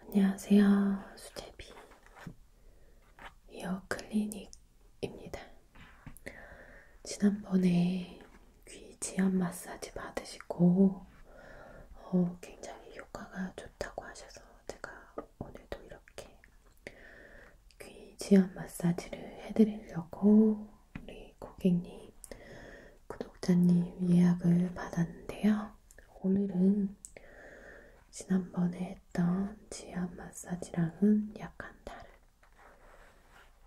안녕하세요. 수제비 이어 클리닉입니다. 지난번에 귀 지압 마사지 받으시고 어, 굉장히 효과가 좋다고 하셔서 제가 오늘도 이렇게 귀 지압 마사지를 해드리려고 우리 고객님, 구독자님 예약을 받았는데요. 오늘은 지난번에 했던 지압 마사지랑은 약간 다른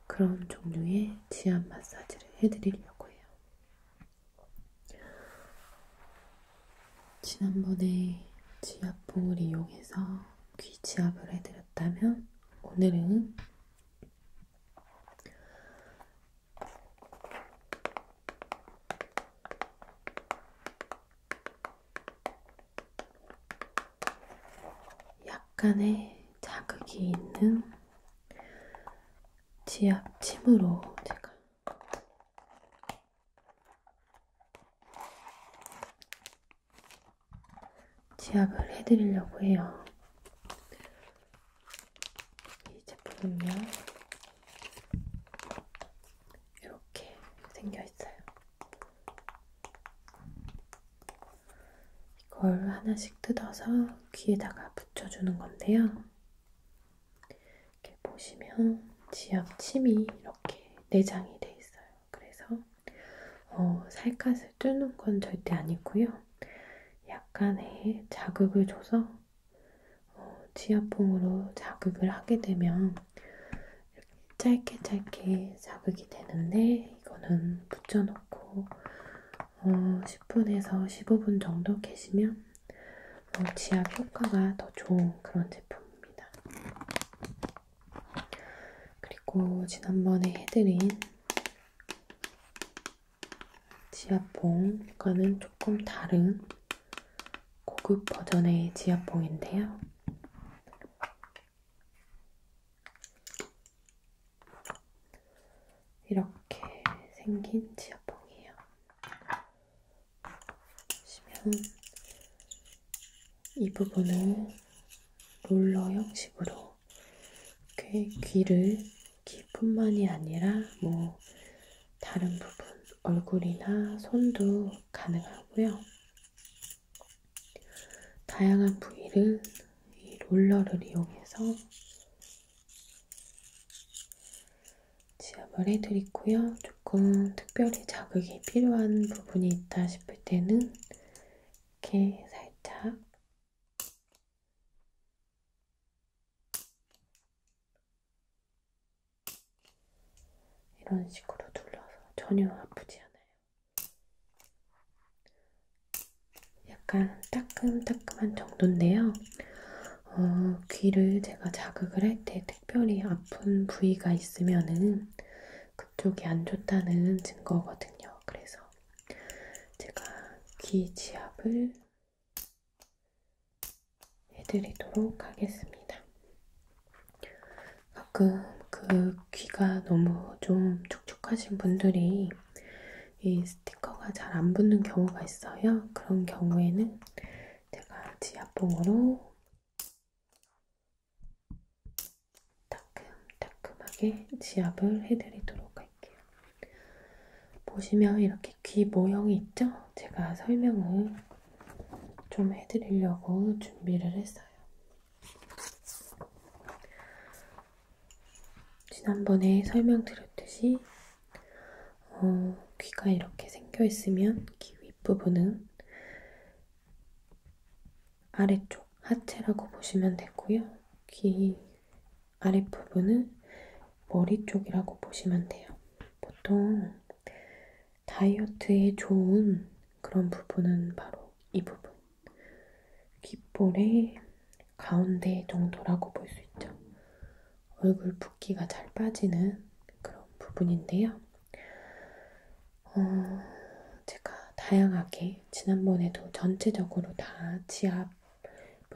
그런 종류의 지압 마사지를 해드리려고 해요. 지난번에 지압봉을 이용해서 귀 지압을 해드렸다면 오늘은 약간의 자극이 있는 지압 침으로 제가 지압을 해드리려고 해요. 이 제품은요, 이렇게 생겨있어요. 이걸 하나씩 뜯어서 귀에다가 붙여주는 건데요. 이렇게 보시면 지압 침이 이렇게 내장이 돼 있어요. 그래서 어, 살갗을 뚫는 건 절대 아니고요. 약간의 자극을 줘서 어, 지압봉으로 자극을 하게 되면 이렇게 짧게 짧게 자극이 되는데 이거는 붙여놓고 어, 10분에서 15분 정도 계시면 어, 지압 효과가 더 좋은 그런 제품입니다. 그리고 지난번에 해드린 지압봉과는 조금 다른 고급 버전의 지압봉인데요. 이렇게 생긴 지압봉이에요. 보시면 이 부분을 롤러 형식으로 이렇게 귀를 귀뿐만이 아니라 뭐 다른 부분 얼굴이나 손도 가능하고요. 다양한 부위를 이 롤러를 이용해서 지압을 해드리고요. 조금 특별히 자극이 필요한 부분이 있다 싶을 때는 이렇게 살짝 이런 식으로 둘러서 전혀 아프지 않아요. 약간 따끔따끔한 정도인데요. 어, 귀를 제가 자극을 할 때 특별히 아픈 부위가 있으면은 그쪽이 안 좋다는 증거거든요. 그래서 제가 귀 지압을 해드리도록 하겠습니다. 가끔 그 귀가 너무 좀 촉촉하신 분들이 이 스티커가 잘 안 붙는 경우가 있어요. 그런 경우에는 제가 지압봉으로 따끔따끔하게 지압을 해드리도록 할게요. 보시면 이렇게 귀 모형이 있죠? 제가 설명을 좀 해드리려고 준비를 했어요. 지난번에 설명드렸듯이 어, 귀가 이렇게 생겨있으면 귀 윗부분은 아래쪽 하체라고 보시면 되고요. 귀 아랫부분은 머리 쪽이라고 보시면 돼요. 보통 다이어트에 좋은 그런 부분은 바로 이 부분. 귓볼의 가운데 정도라고 볼 수 있죠. 얼굴 붓기가 잘 빠지는 그런 부분인데요. 어, 제가 다양하게 지난번에도 전체적으로 다 지압을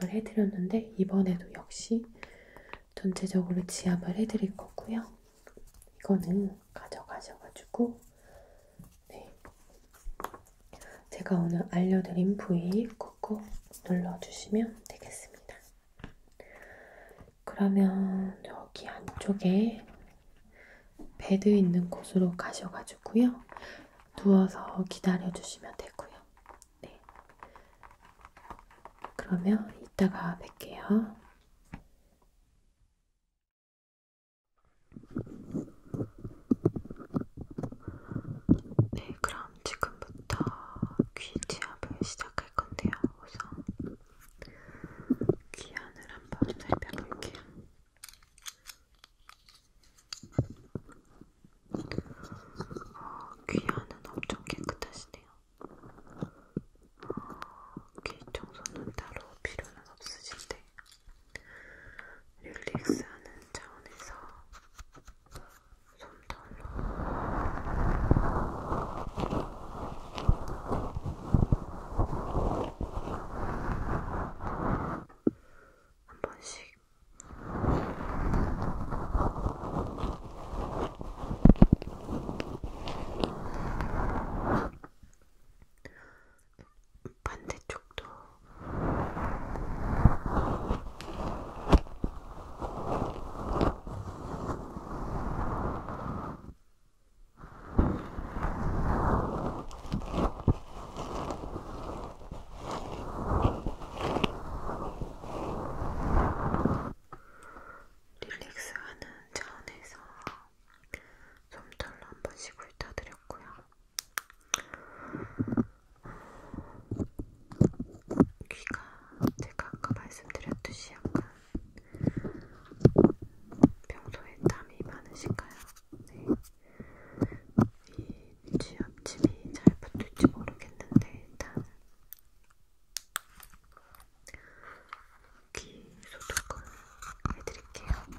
해드렸는데 이번에도 역시 전체적으로 지압을 해드릴 거고요. 이거는 가져가셔가지고 네. 제가 오늘 알려드린 부위 꾹꾹 눌러주시면 되겠습니다. 그러면 여기 안쪽에 베드 있는 곳으로 가셔가지고요. 누워서 기다려주시면 되고요. 네. 그러면 이따가 뵐게요. 네, 그럼 지금부터 귀 지압을 시작할 건데요. 우선 귀안을 한번 살펴볼게요. 어, 귀 안은 엄청 깨끗하시네요. 어, 귀 청소는 따로 필요는 없으신데 릴렉스하는 차원에서 솜털로 한 번씩 반대쪽도 릴렉스하는 차원에서 솜털로 한번 씩을 타드렸고요. 귀가 제가 아까 말씀드렸듯이 약간 평소에 땀이 많으신가요? 이 취업집이 잘 붙을지 모르겠는데 일단 귀 소독을 해드릴게요.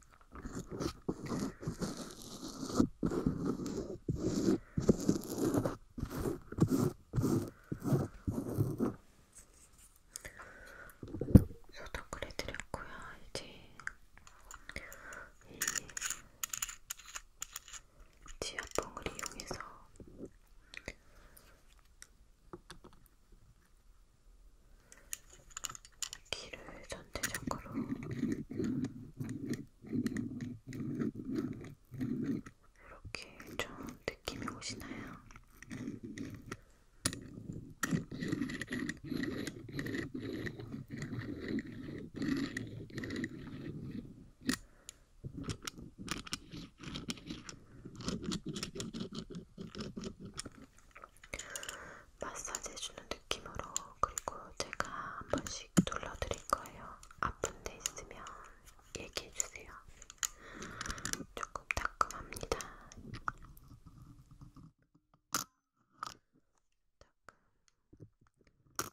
소독을 해드렸고요. 이제 이 지압봉을 이용해서 귀를 전체적으로 이렇게 좀 느낌이 오시나요? 마사지 해주는 느낌으로 그리고 제가 한 번씩 눌러드릴 거예요. 아픈 데 있으면 얘기해주세요. 조금 따끔합니다. 따끔. 따끔.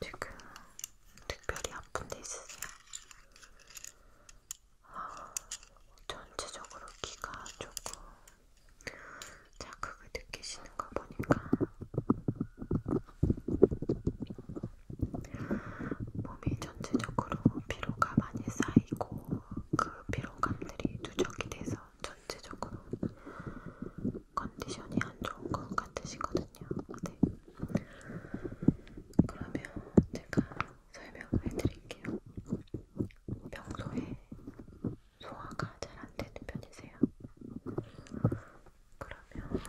지금 특별히 아픈 데 있으세요? 아, 전체적으로 귀가 조금 자극을 느끼시는 거 보니까 몸이 전체적으로 피로가 많이 쌓이고 그 피로감들이 누적이 돼서 전체적으로 컨디션이 안 좋은 것 같으시거든요. 네. 그러면 제가 설명을 해드릴게요. 평소에 소화가 잘 안 되는 편이세요? 그러면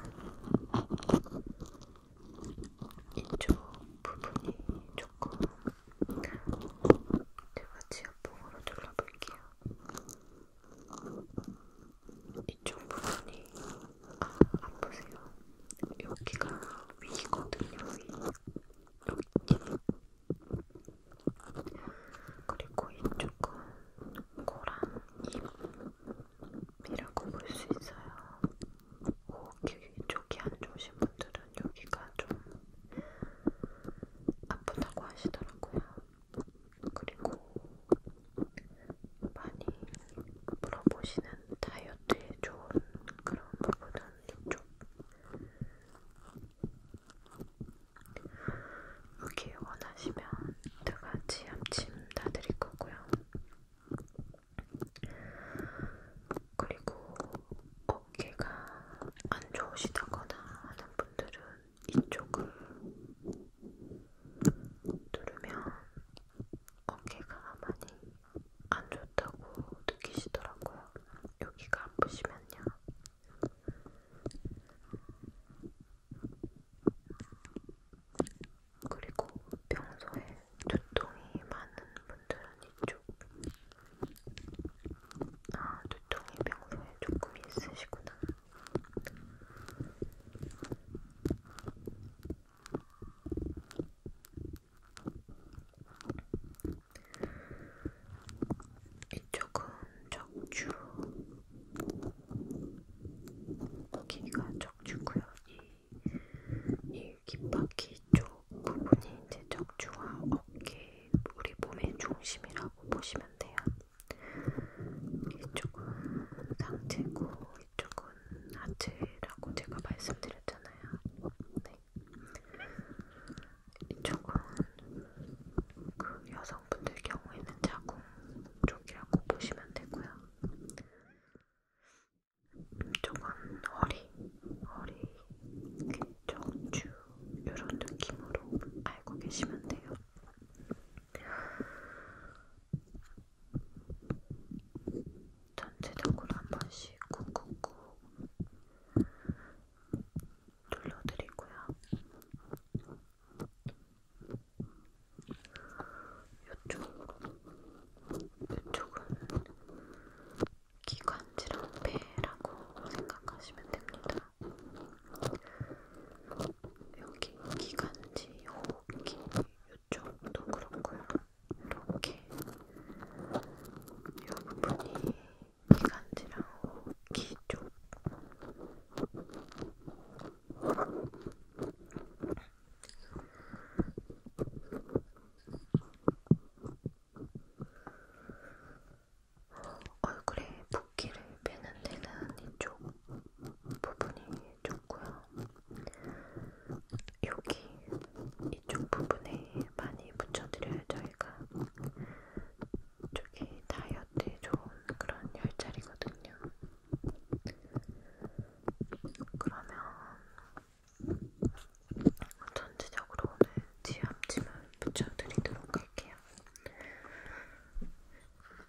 이쪽 부분이 조금 제가 지압봉으로 눌러볼게요. 이쪽 부분이 아, 안 보세요. 여기가 위거든요. 위. 여기. 그리고 이쪽은 코랑 입이라고 볼 수 있어요. 호흡기 쪽이 안 좋으신 분들은 여기가 좀 아프다고 하시더라고요. 그리고 많이 물어보시는 다이어트에 좋은 그런 부분은 이쪽 여기 원하시면 두 가지 암침 다 드릴 거고요. 그리고 어깨가 안 좋으시다거나 하는 분들은 이쪽을 누르면 어깨가 많이 안 좋다고 느끼시더라고요. 여기가 아프시면요. 그리고 평소에 두통이 많은 분들은 이쪽 아 두통이 평소에 조금 있으시구나 이쪽은 적주 여기가 적주고요. 이, 이 귓바퀴 쪽 부분이 이제 적주와 어깨 우리 몸의 중심이라고 보시면 돼요. 이쪽은 상체고 이쪽은 하체라고 제가 말씀드렸잖아요. 네. 이쪽은 그 여성분들 경우에는 자궁 쪽이라고 보시면 되고요. 이쪽은 허리, 허리, 정주 이런 느낌으로 알고 계시면 돼요. 전체적으로 한 번씩 쿡쿡쿡 돌려드리고요. 이쪽, 이쪽은 기관지랑 배라고 생각하시면 됩니다. 여기 기관지 여기 이쪽도 그렇고요. 이렇게 이 부분이 기관지랑 귀 쪽. 얼굴에 붓기를 빼는 데는 이쪽 부분이 좋고요. 여기 이쪽 부분에 많이 붙여드려요 저희가. 저기 다이어트에 좋은 그런 열자리거든요. 그러면 전체적으로 오늘 지압침을 붙여드리도록 할게요.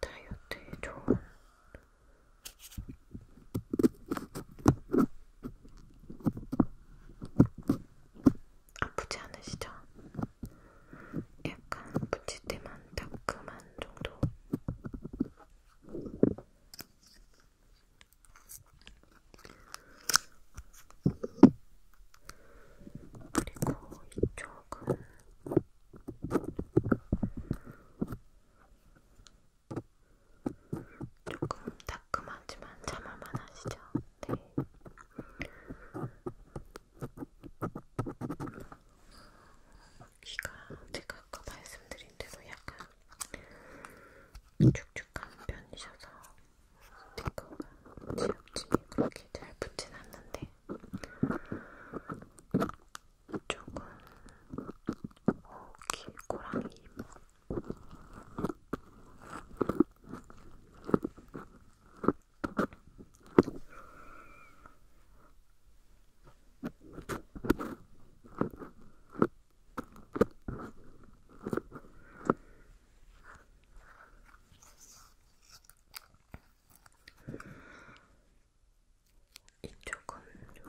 다이어트에 좋은 아프지 않으시죠? 약간 붙일 때만 따끔한 정도 그리고 이쪽은 조금 따끔하지만 참을만 하시죠? 네. 귀가 제가 아까 말씀드린 대로 약간 축축한 편이셔서 스티커가 지역층이 그렇게 잘 붙진 않는데 이쪽은 어, 길 고랑이 이모 이쪽은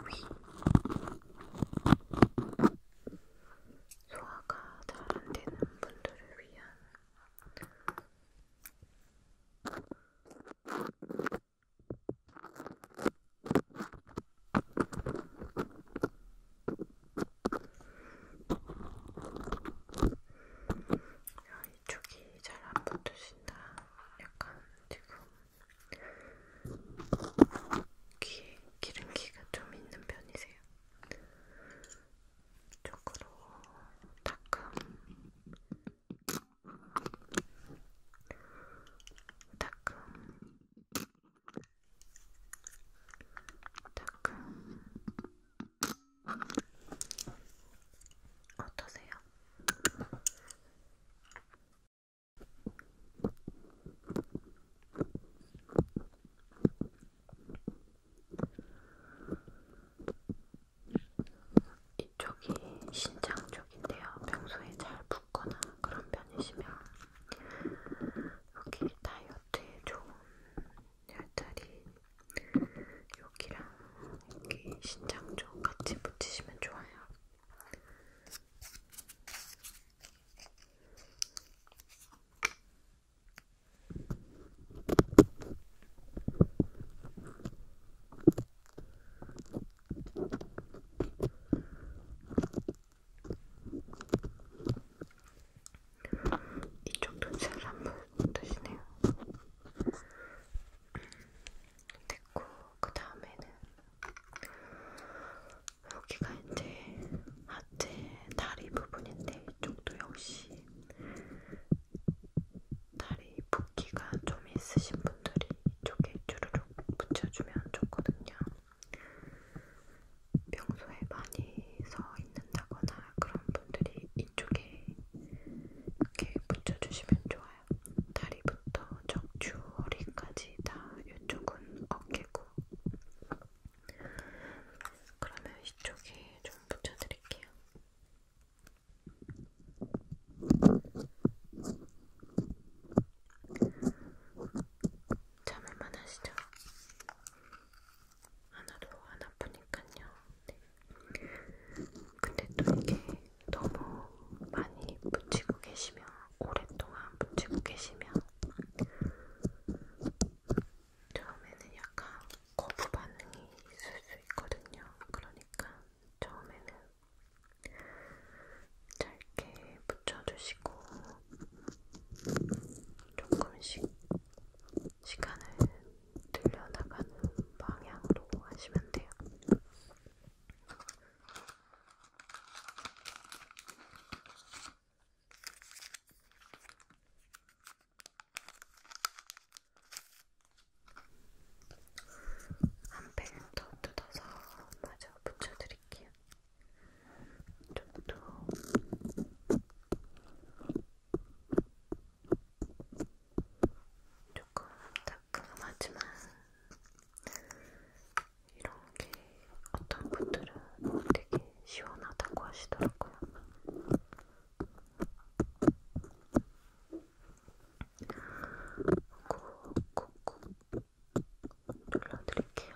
위 소화가 잘 안되는 분들을 위한 야, 이쪽이 잘 안 붙으신다. 약간 지금 귀에 기름기가 좀 있는 편이세요. 이쪽으로 닦음, 닦음. 음, 어떠세요? 이쪽이 신장 쪽인데요. 평소에 잘 붓거나 그런 편이시면 여기 다이어 같아. 좋은 열다리 여기랑 여기 신장 좀 같이 붙이시면 좋아요. 이쪽도 잘안 보여주시네요. 됐고, 그 다음에는 여기가 이제 하체 다리 부분인데 이쪽도 역시 다리 붓기가 좀 있으신 분들이 이쪽에 주르륵 붙여주면 좋거든요. 평소에 많이 서 있는다거나 그런 분들이 이쪽에 이렇게 붙여주시면 좋아요. 다리부터 척추, 허리까지 다 이쪽은 어깨고 그러면 이쪽에 좀 붙여드릴게요. 참을만 하시죠? 하나도 안 아프니까요. 네. 근데 또 이게 너무 많이 붙이고 계시면, 오랫동안 붙이고 계시면, 처음에는 약간 거부 반응이 있을 수 있거든요. 그러니까 처음에는 짧게 붙여주시고, 조금씩 시간을 늘려나가는 방향으로 하시면 돼요. 한펜더 뜯어서 마저 붙여드릴게요. 좀더 조금 따끔하지만 이런게 어떤 분들은 되게 시원하다고 하시더라고요. 꾹꾹꾹 눌러드릴게요.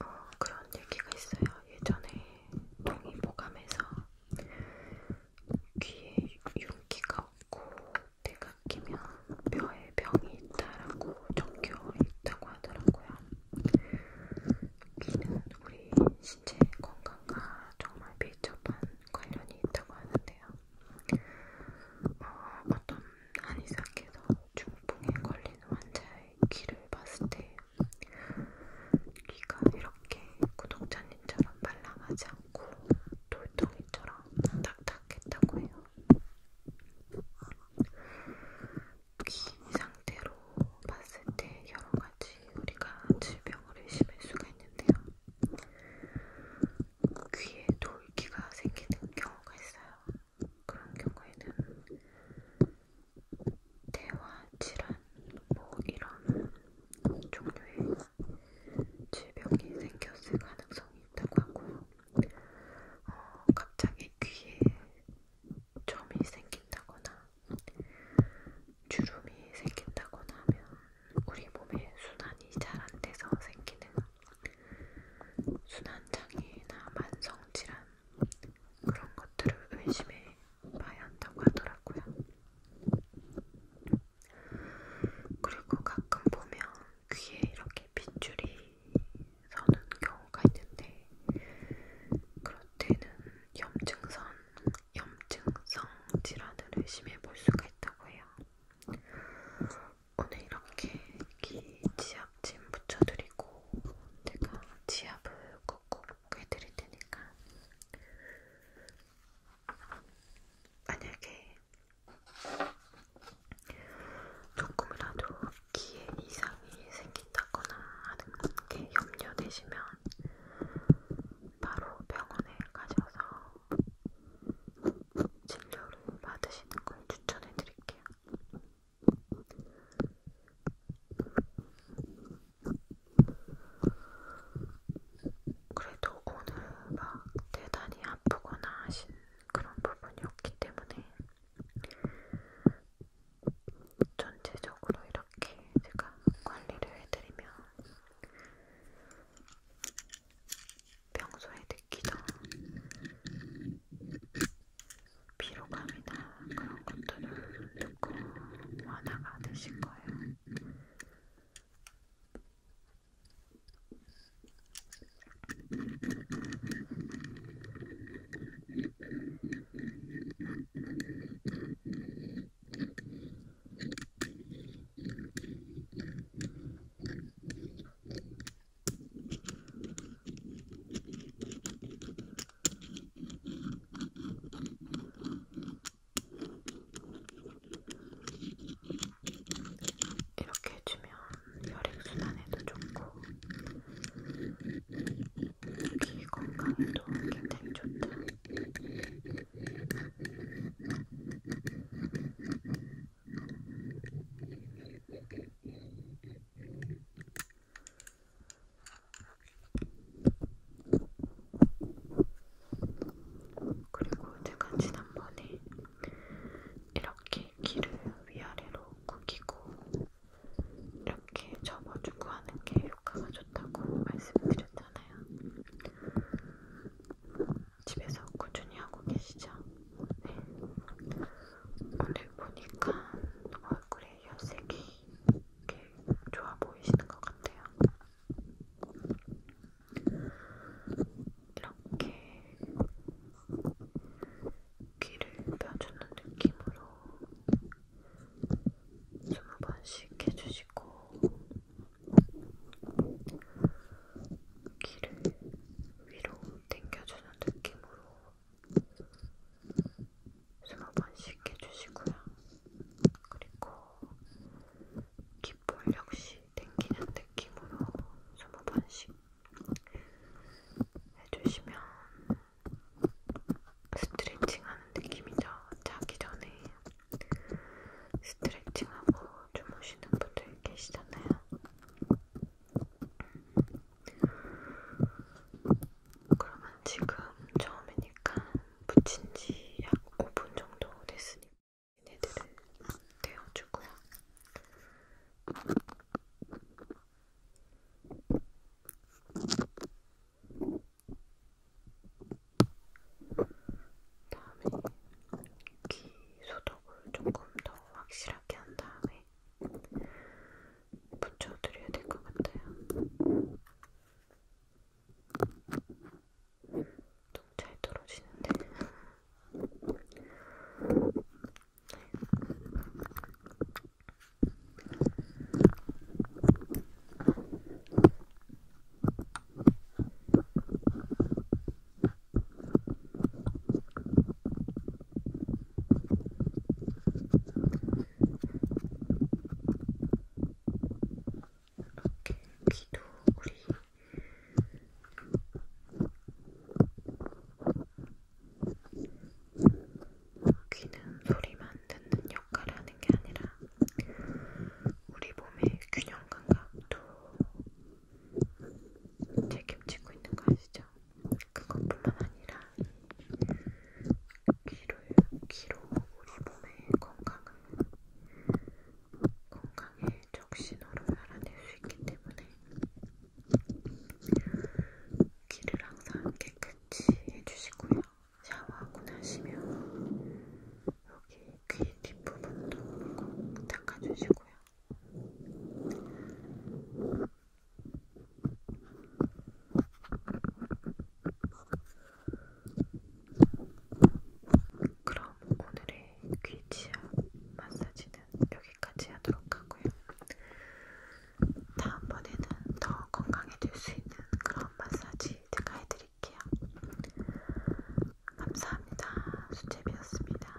어, 그런 얘기가 있어요. 예전에 동이 보감해서 귀에 윤기가 없고 내가 끼면 뼈에 병이 있다라고 적혀 있다고 하더라고요. 귀는 우리 신체 건강과 정말 밀접한 관련이 있다고 하는데요. 어, 어떤 한의사께서 중풍에 걸린 환자의 귀를 봤을 때 귀가 이렇게 구독자님처럼 말랑하지 않고 돌덩이처럼 딱딱했다고 해요. 귀 상태로 봤을 때 여러 가지 우리가 질병을 의심할 수가 있는데요. 귀에 돌기가 생기는 경우가 있어요. 그런 경우에는 대화 질환, 뭐 이런 종류의 질병이 생겼을 가능성이 있다고 하고, 어, 갑자기 귀에 점이 생긴다거나 주름이 생긴다거나 하면 우리 몸의 순환이 잘 안 돼서 생기는 순환장애나 만성질환 그런 것들을 의심해 봐야 한다고 하더라고요. 그리고 가끔 보면 귀에 이렇게 빗줄이 서는 경우가 있는데 그럴 때는 염증성, 염증성 질환을 의심해 볼 수가 있다고 해요. 오늘 이렇게 귀 지압찜 붙여드리고 제가 지압을 꾹꾹 해드릴 테니까 만약에 조금이라도 귀에 이상이 생긴다거나 하는 게 염려되시면 바로 병원에 가셔서 진료를 받으시는 걸 추천해 드릴게요. 그래도 오늘 막 대단히 아프거나 하신 그런 부분이 없기 때문에 전체적으로 이렇게 제가 관리를 해드리면 평소에 느끼던 피로감이나 그런 것들을 듣고 완화가 되실 거예요. 이렇게 해주면 혈액순환에도 좋고 귀 건강에도 굉장히 좋다. 그리고 제가 지난번에 이렇게 귀를 위아래로 구기고 이렇게 접어주고 하는 게 효과가 좋다고 말씀드렸잖아요. 집에서 꾸준히 하고 계시죠? 네. 오늘 보니까 얼굴에 혈색이 이렇게 좋아 보이시는 것 같아요. 이렇게 귀를 펴주는 느낌으로 스무 번씩 해주시고 귀를 위로 당겨주는 느낌으로 스무 번씩 해주시고요. 그리고 귓볼 역시 당기는 느낌으로 스무 번씩 해주시면 스트레칭하는 느낌이죠. 자기 전에 스트레칭하고 주무시는 분들 계시잖아요. 그러면 지금 처음이니까 붙인 지약 5분 정도 됐으니까 얘네들을 떼어주고요. 다음에 귀 소독을 조금 더 확실하게 한 다음에 붙여드려야 될 것 같아요. 좀잘 떨어지는데. 이렇게 귀도 우리 귀는 소리만 듣는 역할을 하는 게 아니라 우리 몸의 균형 감각도 책임지고 있는 거 아시죠? 그것뿐만 아니라 귀를 귀로 우리 몸의 건강을 건강의 적신호를 알아낼 수 있기 때문에 귀를 항상 깨끗이 해주시고요. 샤워하고 나시면 여기 귀 뒷부분도 꼭 닦아주시고요. 그럼 오늘의 귀치아 마사지는 여기까지 하도록 하고요. 다음번에는 더 건강해질 수 있는 그런 마사지 제가 해드릴게요. 감사합니다. 수제비였습니다.